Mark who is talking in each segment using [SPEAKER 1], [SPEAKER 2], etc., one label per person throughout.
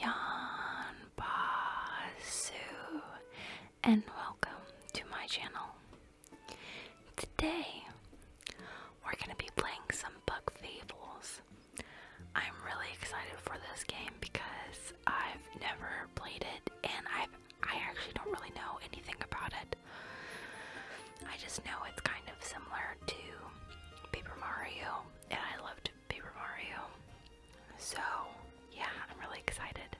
[SPEAKER 1] Yan and welcome to my channel. Today we're gonna be playing some Bug Fables. I'm really excited for this game because I've never played it and I've I actually don't really know anything about it. I just know it's kind of similar to Paper Mario, and I loved Paper Mario. So, yeah, I'm really excited.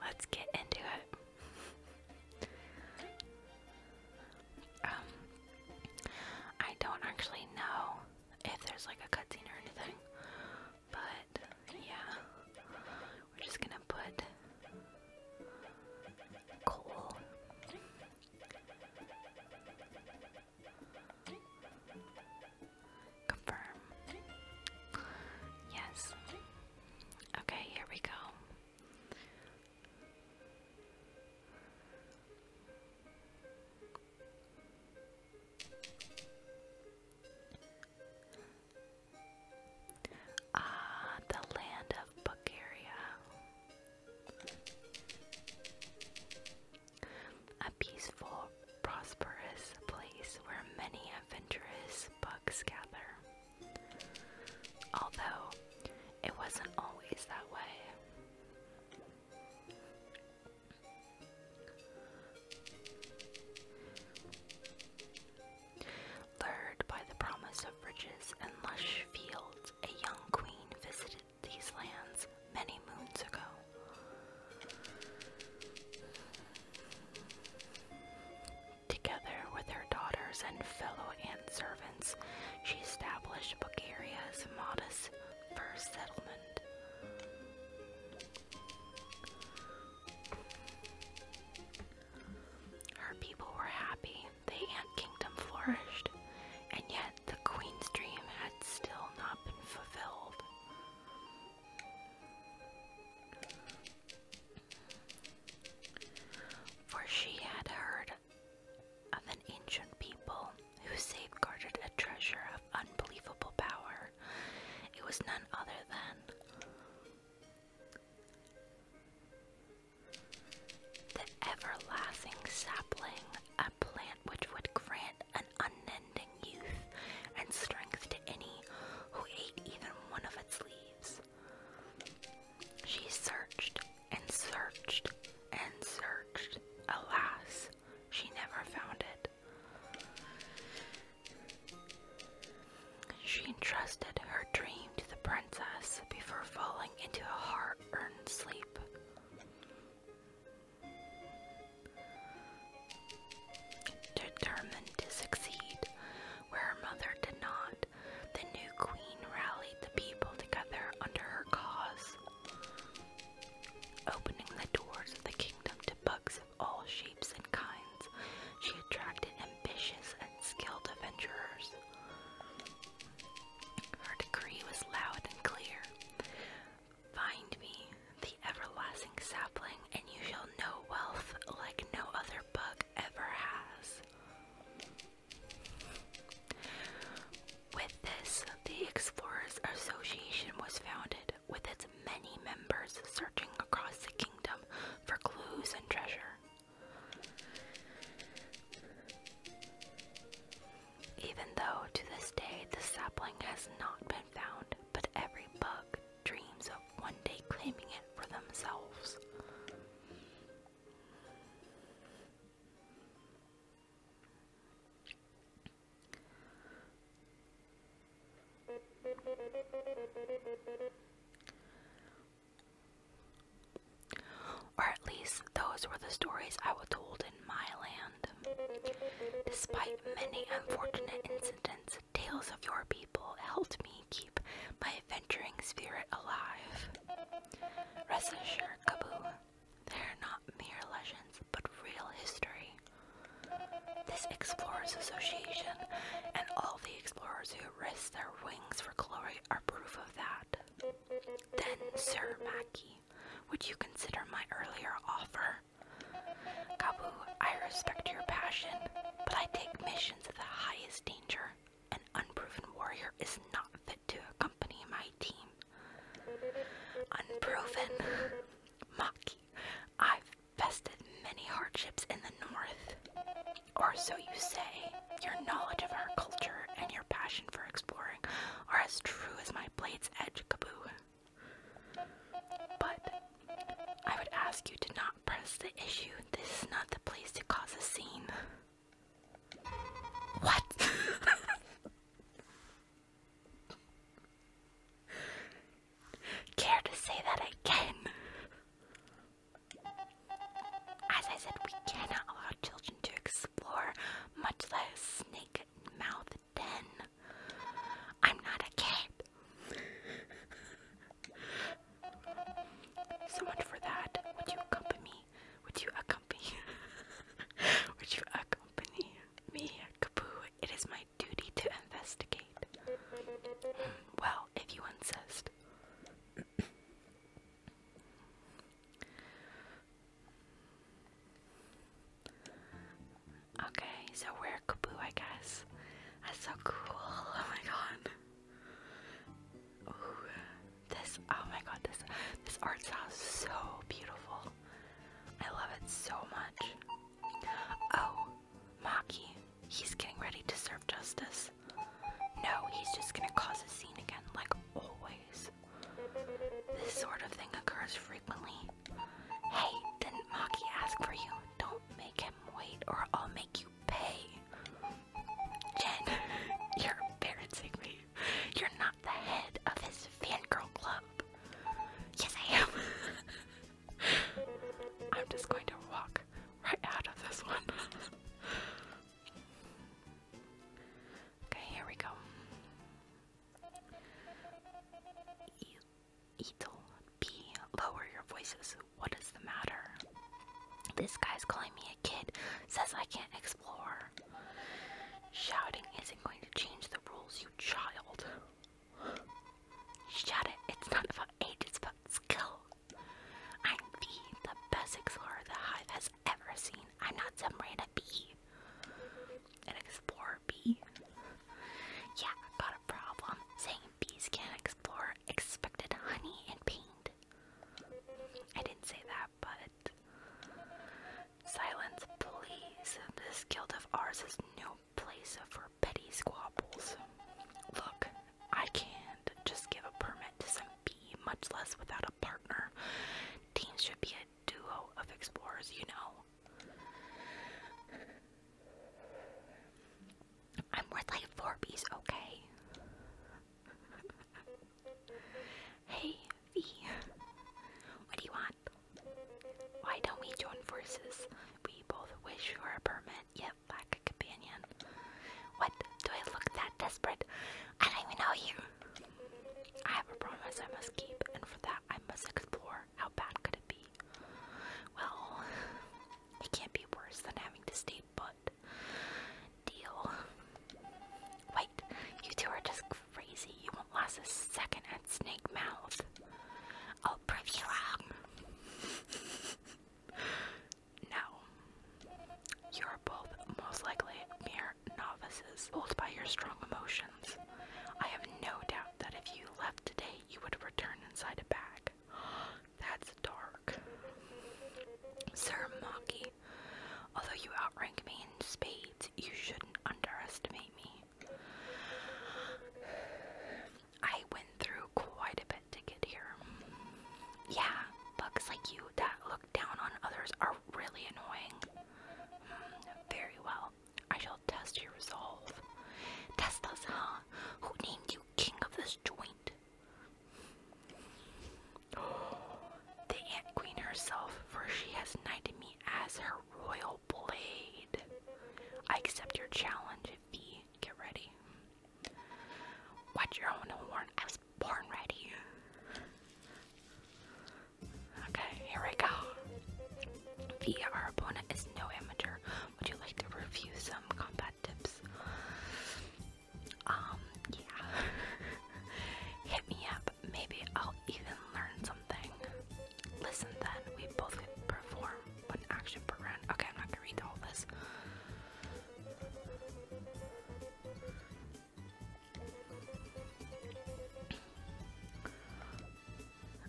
[SPEAKER 1] Let's get into it. Um, I don't actually know if there's like a cutscene or anything, but yeah, we're just gonna put coal Confirm. Yes. Okay, here we go. Ah, the land of Bulgaria. A peaceful, prosperous place where many adventurous bucks gather. Although, it wasn't always that way. Lured by the promise of riches and lush fields, a young queen visited these lands many moons ago. Together with her daughters and fellow ant servants, she established Bulgaria modest first settlement. Her people were happy, the ant kingdom flourished, and yet the Queen's dream had still not been fulfilled. For she had heard of an ancient people who safeguarded a treasure of unbelievable power. It was none other than the everlasting sapling, plant which would grant an unending youth and strength to any who ate even one of its leaves. She searched and searched and searched. Alas, she never found it. She entrusted her dream to the princess before falling into a hard earned sleep. Determined to succeed where her mother did not, the new queen rallied the people together under her cause, opening the doors of the kingdom to bugs of all shapes and kinds. She attracted ambitious and skilled adventurers. Her decree was loud and clear Find me, the everlasting sapling, and you shall know wealth like no other bug ever has. With this, the Explorers Association was founded, with its many members searching across the kingdom for clues and treasure. Even though to this day the sapling has not been found, but every bug dreams of one day claiming it for themselves. Or at least those were the stories I was told in my land. Despite many unfortunate incidents, tales of your people helped me keep my adventuring spirit alive. Rest assured, Kaboo, they are not mere legends, but real history. This Explorers Association and all the explorers who risk their wings for glory are proof of that. Then, Sir Mackey, would you consider my earlier offer? Kabu, I respect your passion, but I take missions of the highest danger. An unproven warrior is not fit to accompany my team. Unproven? Maki, I've bested many hardships in the north. Or so you say. Your knowledge of our culture and your passion for exploring are as true as my blade's edge, Kaboo. But I would ask you to not press the issue. This is not the place to cause a scene. What? Care to say that again? As I said, we cannot allow children to explore, much less snake mouth ten. I'm not a cat. so much for that. Would you accompany me? Would you accompany? Would you accompany me, Kaboo? It is my duty to investigate. Hmm, well, if you insist. Okay, so we're Kaboo, I guess. That's so cool. Oh my god. this, oh my god, this, this art style is so beautiful. I love it so much. Oh, Maki, he's getting ready to serve justice. No, he's just gonna cause a scene again, like always. This sort of thing occurs frequently. Hey, didn't Maki ask for you? Don't make him wait or I'll make you pay. Jen, you're embarrassing me. You're not the head of his fangirl club. Yes, I am. I'm just going to walk right out of this one. okay, here we go. Ethel, lower your voices. What is the matter? This guy's calling me a kid, says I can't explore. Shouting isn't going to change the rules, you child. Shut it, it's not about age, it's about skill. I'm the best explorer the Hive has ever seen. I'm not some random bee. An explorer bee. yeah, got a problem saying bees can't explore expected honey and paint. I didn't say that, but. Silence, please. This guild of ours is no place for petty squabbles. Look, I can't just give a permit to some bee, much less without a partner. Teams should be a duo of explorers, you know. I'm worth like four bees, okay? hey, V. What do you want? Why don't we join forces? We both wish for a permit, yet lack a companion. What? Do I look that desperate? I don't even know you. I have a promise I must keep, and for that I must explore. How bad could it be? Well, it can't be worse than having to stay put. Deal. Wait, you two are just crazy. You won't last a second at Snake Mouth. I'll prove you wrong. no. You're both most likely mere novices, pulled by your strong emotions. I have no doubt that if you left today, you would return inside a bag. That's dark. Sir Maki, although you outrank me in spades, you shouldn't underestimate me. I went through quite a bit to get here. Yeah, bugs like you that look down on others are really annoying. Very well. I shall test your resolve. Test us, huh? Who named you king of this joint? The Ant Queen herself, for she has knighted me as her royal blade. I accept your challenge, V. Get ready. Watch your own horn. I was born ready. Okay, here we go. Via, our opponent is no amateur. Would you like to review some combat tips? Um, yeah. Hit me up. Maybe I'll even learn something. Listen then, we both perform one action per Okay, I'm not gonna read all this.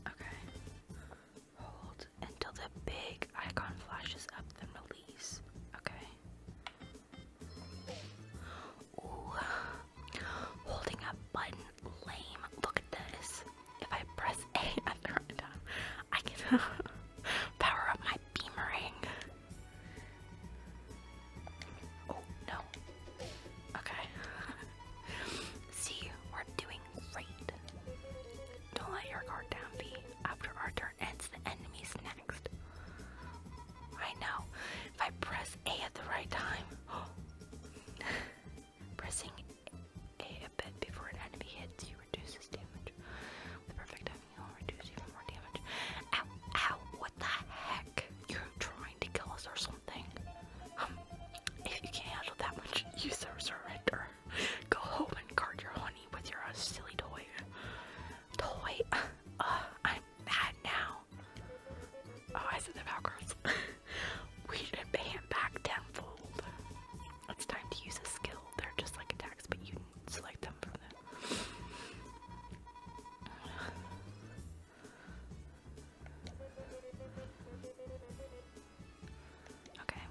[SPEAKER 1] Okay. Hold until the big icon flashes up, then release. Okay. Ooh. Holding up button. Lame. Look at this. If I press A, I can power up my beamering. Oh, no. Okay. See, we're doing great. Don't let your guard down, be. After our turn ends, the enemy's next. I know. If I press A at the right time. Pressing A a bit before an enemy hits you reduces damage. The perfect timing will even more damage. Ow, ow, what the heck? You're trying to kill us or something. Um, if you can't handle that much, you surrender. Go home and guard your honey with your uh, silly toy. Toy? Uh, I'm mad now. Oh, I said the Valkyries. we should pay back tenfold. It's time to use a skill. They're just like attacks, but you select them from them. Okay,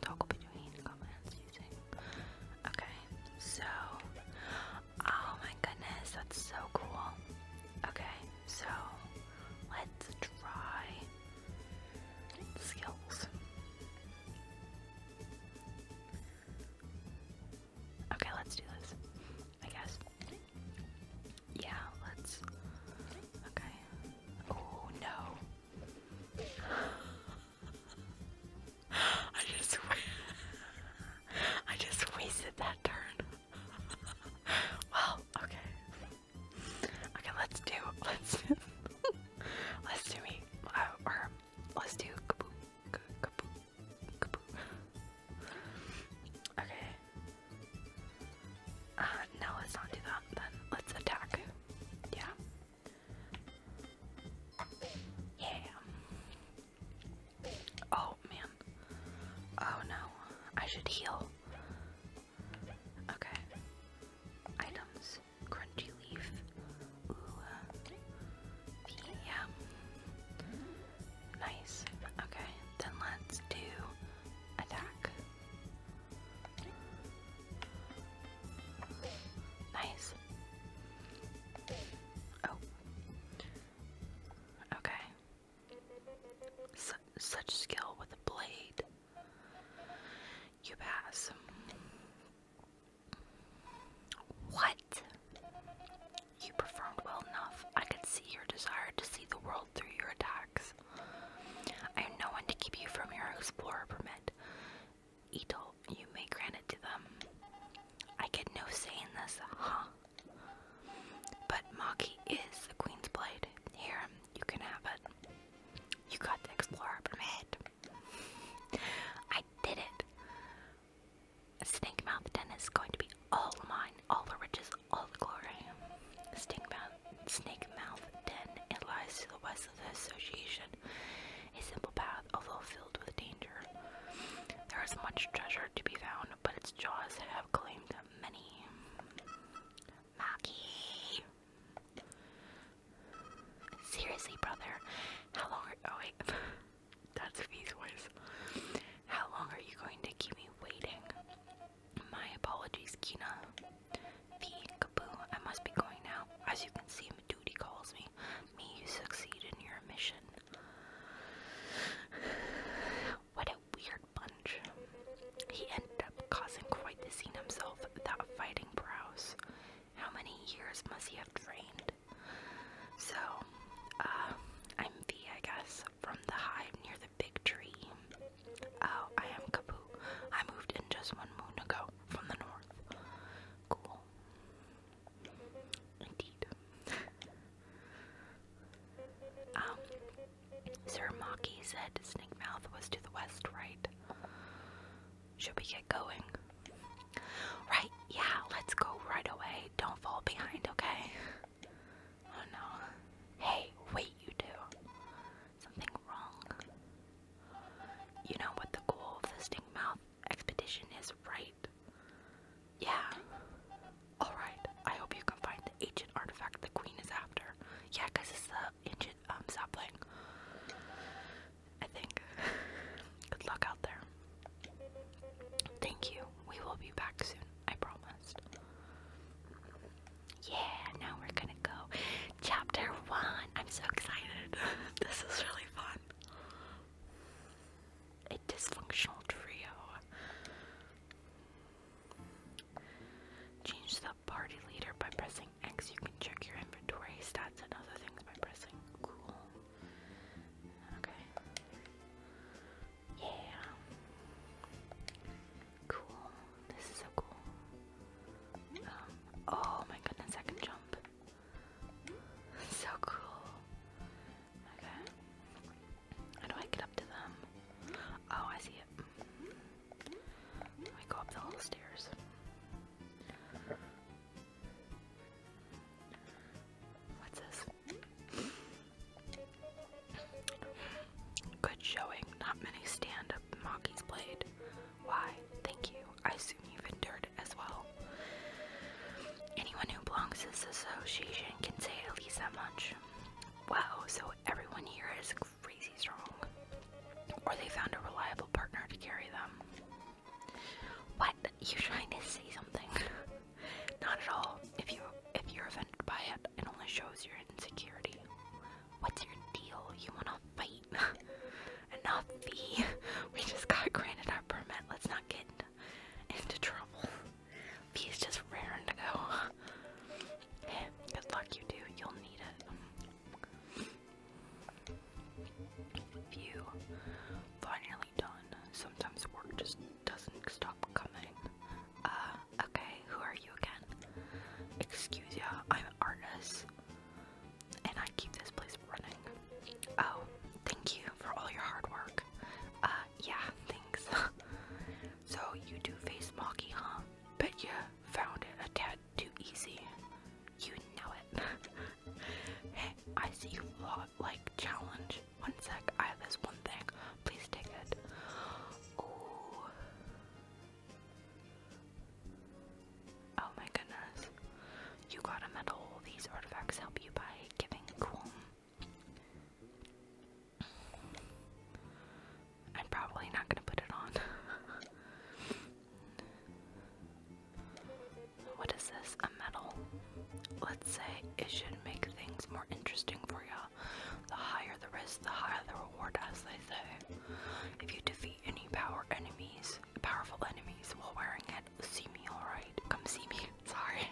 [SPEAKER 1] toggle between comments using. Okay, so. Oh my goodness, that's so cool. Okay, so let's try skills. Okay, let's do this. I guess. Yeah, let's. Okay. Oh no. I just. I just wasted that turn. well, okay. Okay, let's do. Let's. let's do me. Uh, or let's do kaboom, kaboom, okay. Uh, no, let's not do that then. Let's attack. Yeah. Yeah. Oh, man. Oh, no. I should heal. Okay. Items. Crunchy leaf. Uh, yeah. Nice. Okay, then let's do attack. Nice. Oh. Okay. such skill with a blade. You pass. What? You performed well enough. I could see your desire to see the world through your attacks. I have no one to keep you from your explorer permit. Etel, you may grant it to them. I get no say in this, huh? But Maki is the Queen's Blade. Here, you can have it. You got the explorer permit. I did it. Snake Mouth Den is going to be all mine, all the riches, all the glory. Snake Mouth, Snake Mouth Den, it lies to the west of the association, a simple path, although filled with danger. There is much treasure to be found, but its jaws have claimed many. Maki! Seriously, brother, how long are- oh wait. That's V's voice. How long are you going to keep me waiting? My apologies, Kina. V, Kaboo, I must be going now. As you can see, duty calls me. Me, you succeed in your mission. What a weird bunch. He ended up causing quite the scene himself, without fighting Browse. How many years must he have trained? So, uh, I guess from the hive near the big tree. Oh, I am Kaboo. I moved in just one moon ago from the north. Cool. Indeed. um, Sir Maki said Snake Mouth was to the west, right? Should we get going? Right, yeah, let's go right away. Don't fall behind, okay? Oh no. Hey, wait, you two. Something wrong. You know what the goal of the Stink Mouth expedition is, right? Yeah. Alright, I hope you can find the ancient artifact the queen is after. Yeah, because it's the ancient um, sapling. I think. Good luck out there. Thank you. We will be back soon. I promised. Yeah, now we're gonna go. Chapter 1. I'm so excited. this is really fun. A dysfunctional trio. Change the party leader by pressing X. You can check your inventory, stats, and other things by pressing cool. Okay. Yeah. Cool. This is so cool. Um, oh my goodness, I can jump. So cool. Okay. How do I get up to them? Oh, I see it. Let go up the little stairs. What's this? Good showing. Not many stand up Mockies played. Why? Thank you. I assume you've endured as well. Anyone who belongs to this association can say at least that much. Wow, so everyone here is crazy strong. Or they found a reliable partner to carry them. What? You trying to say something? Not at all. If you if you're offended by it, it only shows your insecurity. What's your deal? You wanna fight? Enough, V. We just got granted our permit. Let's not get into trouble. V is just raring to go. good luck, you do. You'll need it. View. Finally done. Sometimes work just doesn't stop coming. Uh, okay, who are you again? Excuse ya, I'm Arnis, and I keep this place running. Oh, thank you for all your hard work. Uh, yeah, thanks. so you do face Mocky, huh? Bet you found it a tad too easy. You know it. hey, I see you like challenge. One sec, I have this one thing. Please take it. Oh my goodness. You got a medal. These artifacts help you by giving I'm probably not gonna put it on. what is this? A medal? say it should make things more interesting for you The higher the risk, the higher the reward, as they say. If you defeat any power enemies, powerful enemies while wearing it, see me, alright? Come see me. Sorry.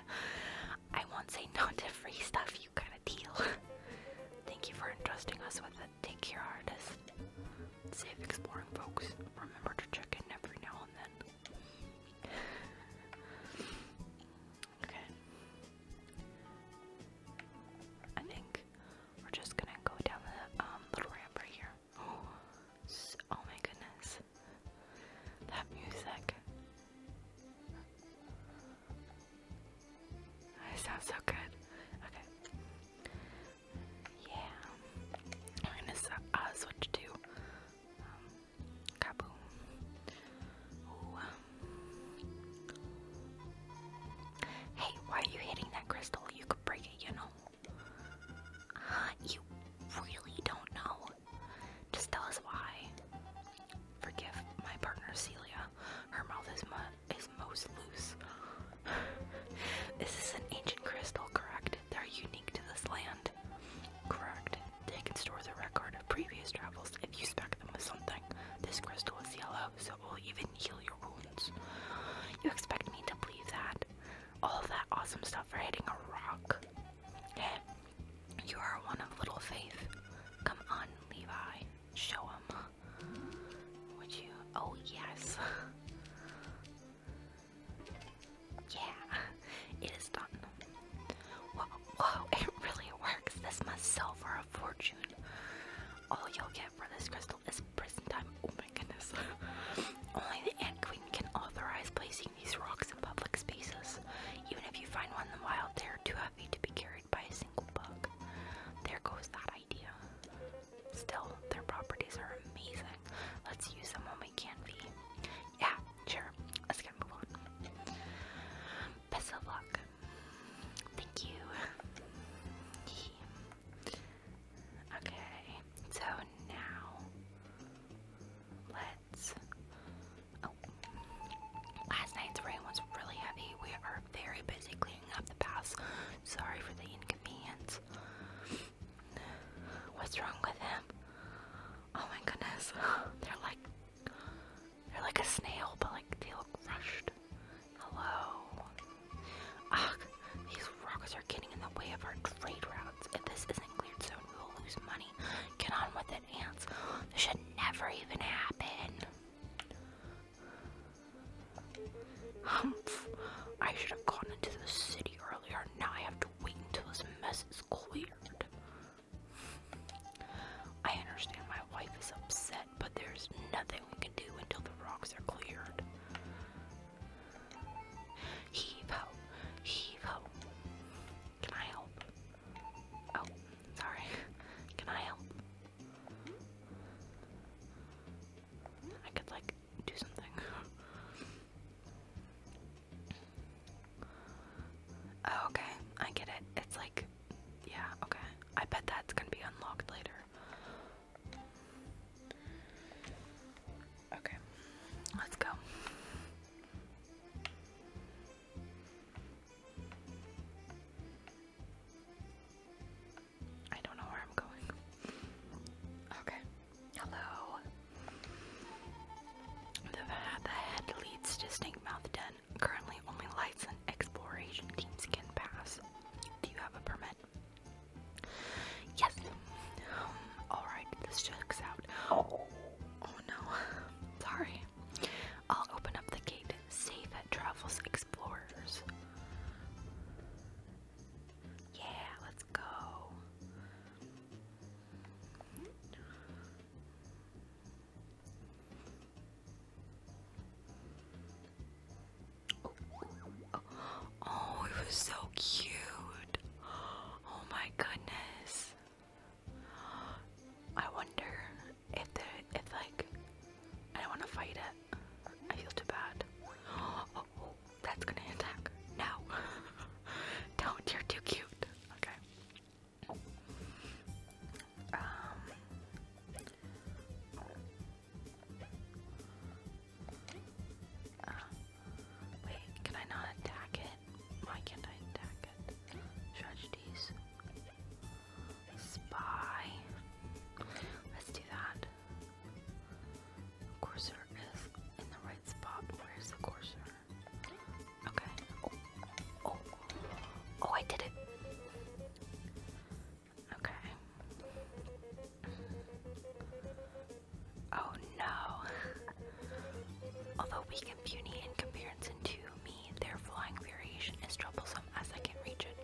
[SPEAKER 1] I won't say no to free stuff, you kinda deal. Thank you for entrusting us with it. Take care, artist. Safe exploring, folks. Remember to check in every now and then. Okay. I think we're just gonna go down the um, little ramp right here. Oh, my goodness. That music. It sounds so good. Okay. Yeah. I'm gonna uh, switch to um, Kaboom. Um. Hey, why are you hitting that crystal? You could break it, you know. you really don't know. Just tell us why. Forgive my partner Celia. Her mouth is most loose. this is an ancient crystal, correct? They're unique to this land. Correct. They can store the record of previous travels if you smack them with something. This crystal is yellow, so it will even heal your wounds. You expect me to believe that? All that awesome stuff for hitting a rock? Yeah. you are one of little faith. Come on, Levi. Show him. Would you? Oh, yes. yeah, it is done. Whoa, whoa, it really works. This must sell for a fortune. All you'll get for this crystal is prison time. Oh my goodness. Only the Ant Queen can authorize placing these rocks in public spaces. Even if you find one in the wild, they're too heavy to be carried by a single bug. There goes that idea. Still, their properties are amazing. Let's use them when we can yeah, sure. Let's get move on. Best of luck. Thank you. Okay, so now let's. Oh, last night's rain was really heavy. We are very busy cleaning up the paths. Sorry for the inconvenience. What's wrong with him? Oh my goodness. They're like they're like a snail, but like they look crushed. Hello. Ugh, these rocks are getting in the way of our trade routes. If this isn't cleared soon, we will lose money. Get on with it, ants. This should never even happen. Humph. I should have gone into the city earlier. Now I have to wait until this mess is cleared. I understand my wife is upset, but there's nothing we can do until the rocks are cleared. Heave ho, heave ho. Can I help? Oh, sorry. Can I help? I could like do something. Oh, okay, I get it. It's like, yeah, okay. I bet that's gonna be unlocked later. Okay, let's go. I don't know where I'm going. Okay. Hello. The, the head leads distinct mouth den. Currently, only lights and exploration teams can pass. Do you have a permit? Yes. Um, all right, this checks out. Oh, oh no, sorry. I'll open up the gate. Safe at Travels Explorers. Yeah, let's go. Oh, it was so cute. Oh my goodness. I wonder if there, if like, I don't want to fight it. I feel too bad. Oh, that's gonna attack. No. don't, you're too cute. Okay. Um, wait, can I not attack it? Why can't I attack it? Tragedies. Spy. Let's do that. Cursor is in the right spot. Where's the cursor? Okay. Oh, oh, I did it. Okay. Oh no. Although weak and puny in comparison to me, their flying variation is troublesome as I can't reach it.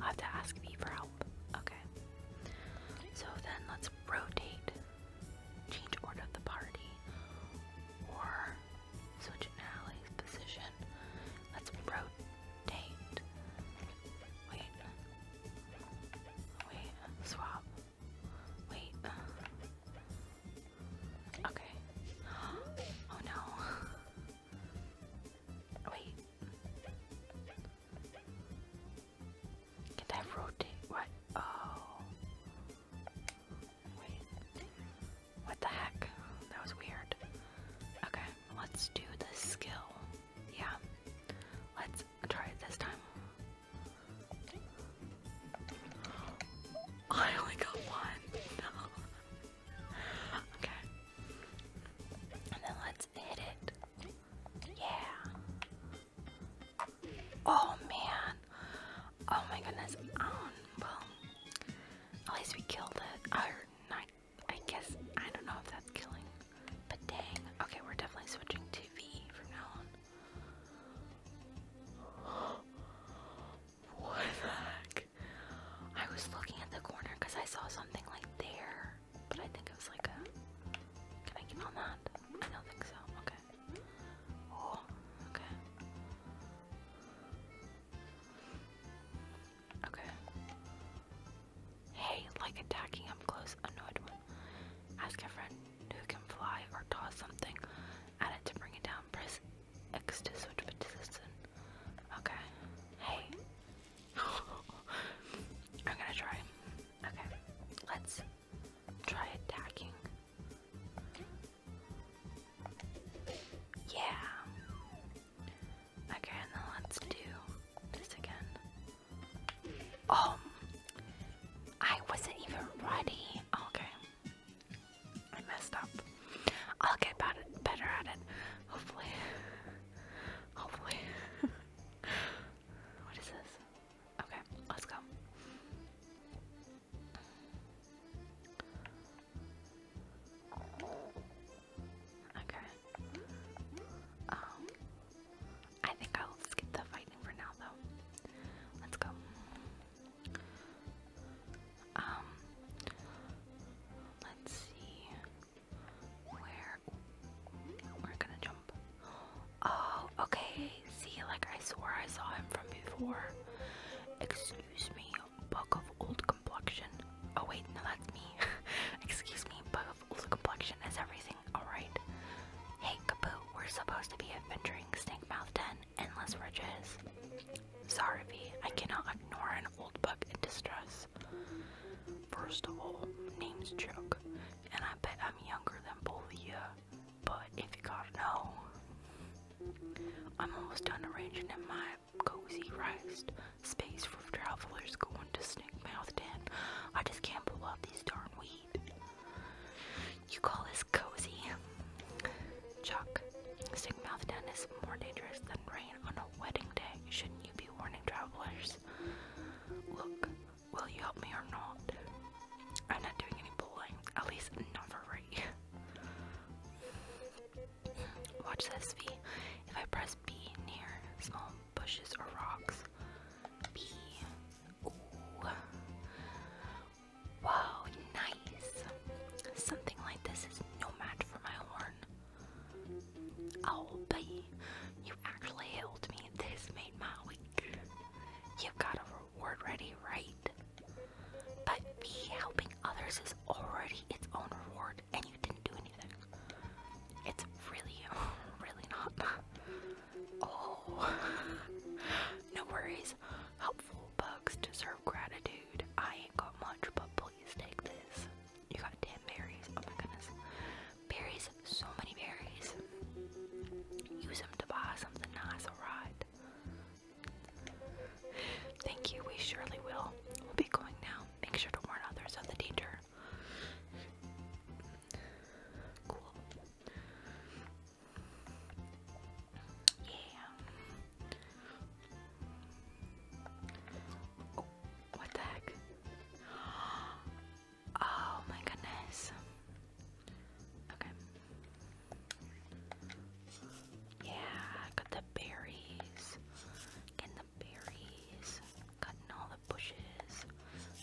[SPEAKER 1] I'll have to ask me for help. Okay. So then let's rotate, change order of the party, or Switching Allie's position. Let's rotate. Wait. Wait. Swap. Wait. Okay. Oh no. Wait. Can I rotate? What? Oh. Wait. What the heck? That was weird. Okay, let's do the skill. Yeah. Let's try it this time. I only got one. No. Okay. And then let's hit it. Yeah. Oh man. Oh my goodness. Um, well, at least we killed it. Or not, I guess, I don't know if that's killing. But dang. Okay, we're definitely switching to V from now on. What the heck? I was looking at the corner because I saw something like there, but I think it was like a. Can I get on that? I don't think so. Okay okay. Oh, okay. Hey, like attacking up close, annoyed one. Ask a friend who can fly or toss something at to bring it down. Press X to switch position. Okay. Hey. I'm gonna try. Okay. Let's try attacking. Yeah. Okay, let's do this again. Oh, I wasn't even ready. Okay, I messed up. I'll get better at it. Hopefully. Hopefully. what is this? Okay, let's go. Okay. Um, I think I'll skip the fighting for now, though. Let's go. Um, let's see where we're gonna jump. Oh, okay. See, like I swore I saw him from before. Excuse me, book of old complexion. Oh wait, no, that's me. Excuse me, book of old complexion is everything, alright? Hey, Kapoo, we're supposed to be adventuring Snake Mouth Den, Endless Ridges. Sorry, V, I cannot ignore an old book in distress. First of all, name's Chuck, and I bet I'm younger than both of you. But if you gotta know, I'm almost done arranging in my cozy rest space for travelers going to Snake Mouth Den. I just can't pull out these darn weeds. You call this cozy? Chuck, Snake Mouth Den is more dangerous than rain on a wedding day. Shouldn't you be warning travelers? Look, will you help me or not? I'm not doing any pulling. at least not for right Watch this V. If I press B near small bushes or rocks, B. Wow, nice. Something like this is no match for my horn. Oh, B, you actually healed me. This made my week. You've got a reward ready, right? But helping others is already its own reward, and you didn't do anything. It's really, really not. Oh. no worries. Helpful bugs deserve gratitude. I ain't got much, but please take this. You got damn berries. Oh my goodness. Berries, so many berries. Use them to buy something nice, alright? Thank you, we surely will. We'll be going now. Make sure to warn others of the danger. Cool. Yeah. Oh, what the heck? Oh my goodness. Okay. Yeah, I got the berries. Getting the berries. Cutting all the bushes.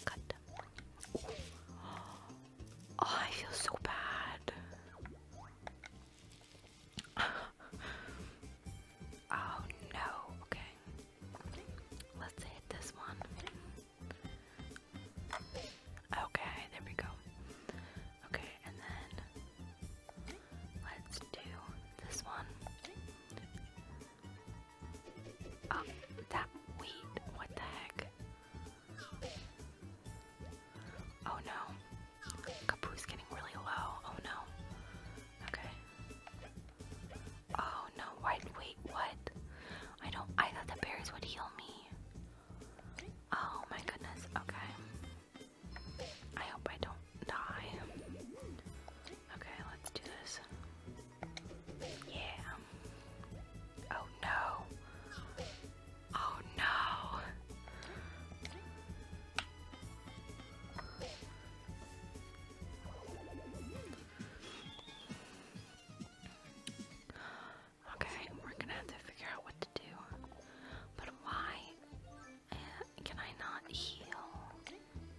[SPEAKER 1] Cut them. Oh, I feel so bad. oh no. Okay. Let's hit this one. Okay, there we go. Okay, and then let's do this one. Oh, that wheat. What the heck? Oh no. Kapoo's getting really low. Oh no. Okay. Oh no, white wait, what? I don't I thought the berries would heal me. Oh my goodness, okay. I hope I don't die. Okay, let's do this. Yeah. Oh no. Oh no. Okay, we're gonna have to figure out what to do. But why uh, can I not heal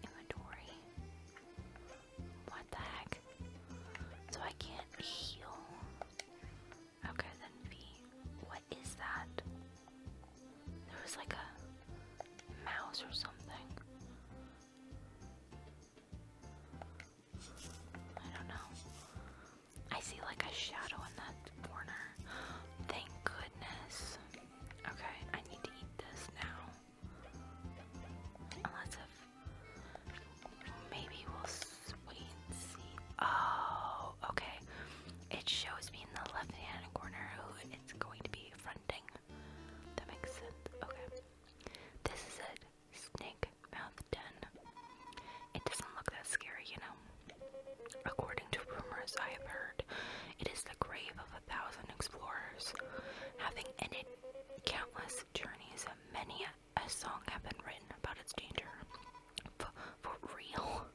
[SPEAKER 1] inventory? What the heck? So I can't heal. Okay, then V. What is that? There was like a mouse or something. I don't know. I see like a shadow in that corner. Thank goodness. Okay, I need to eat this now. maybe we'll wait and see. Oh, okay. It shows me in the left hand corner who it's going to be fronting. That makes sense. Okay. This is it. Snake mouth den. It doesn't look that scary, you know. According to rumors I have heard, it is the grave of a thousand explorers, having ended countless journeys. Many a song have been written about its danger. for real.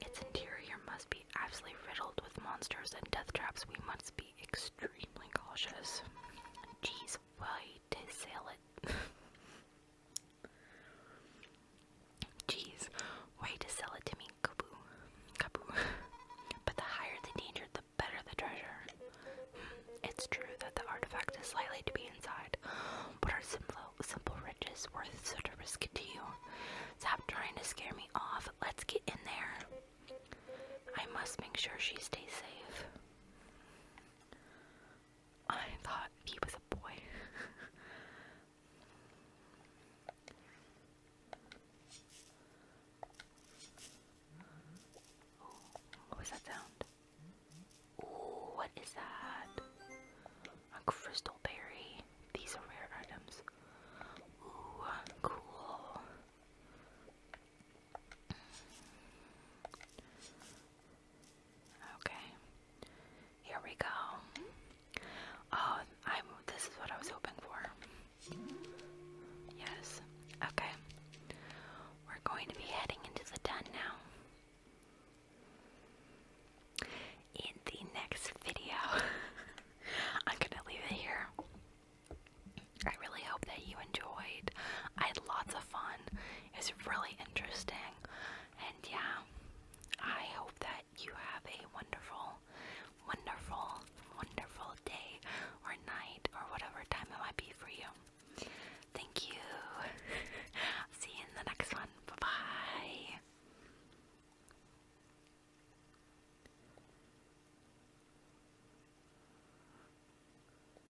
[SPEAKER 1] Its interior must be absolutely riddled with monsters and death traps. We must be extremely cautious. Geez, why to sell it. Jeez, way to sell it to me, Kaboo. Kaboo. but the higher the danger, the better the treasure. It's true that the artifact is likely to be inside, but our simple, simple riches worth such a risk to you. Stop trying to scare me off. Let's get in there. I must make sure she stays safe. I thought he was a boy. what was that sound? Ooh, what is that? A crystal berry. These are rare items. Ooh, cool. Okay. Here we go. Oh, I'm this is what I was hoping for. Yes. Okay. We're going to be heading into the den now. In the next video. I'm gonna leave it here. I really hope that you enjoyed. I had lots of fun. It's really interesting. And yeah, I hope that you have a wonderful, wonderful, wonderful day or night or whatever time it might be for you. Thank you. See you in the next one. Bye bye.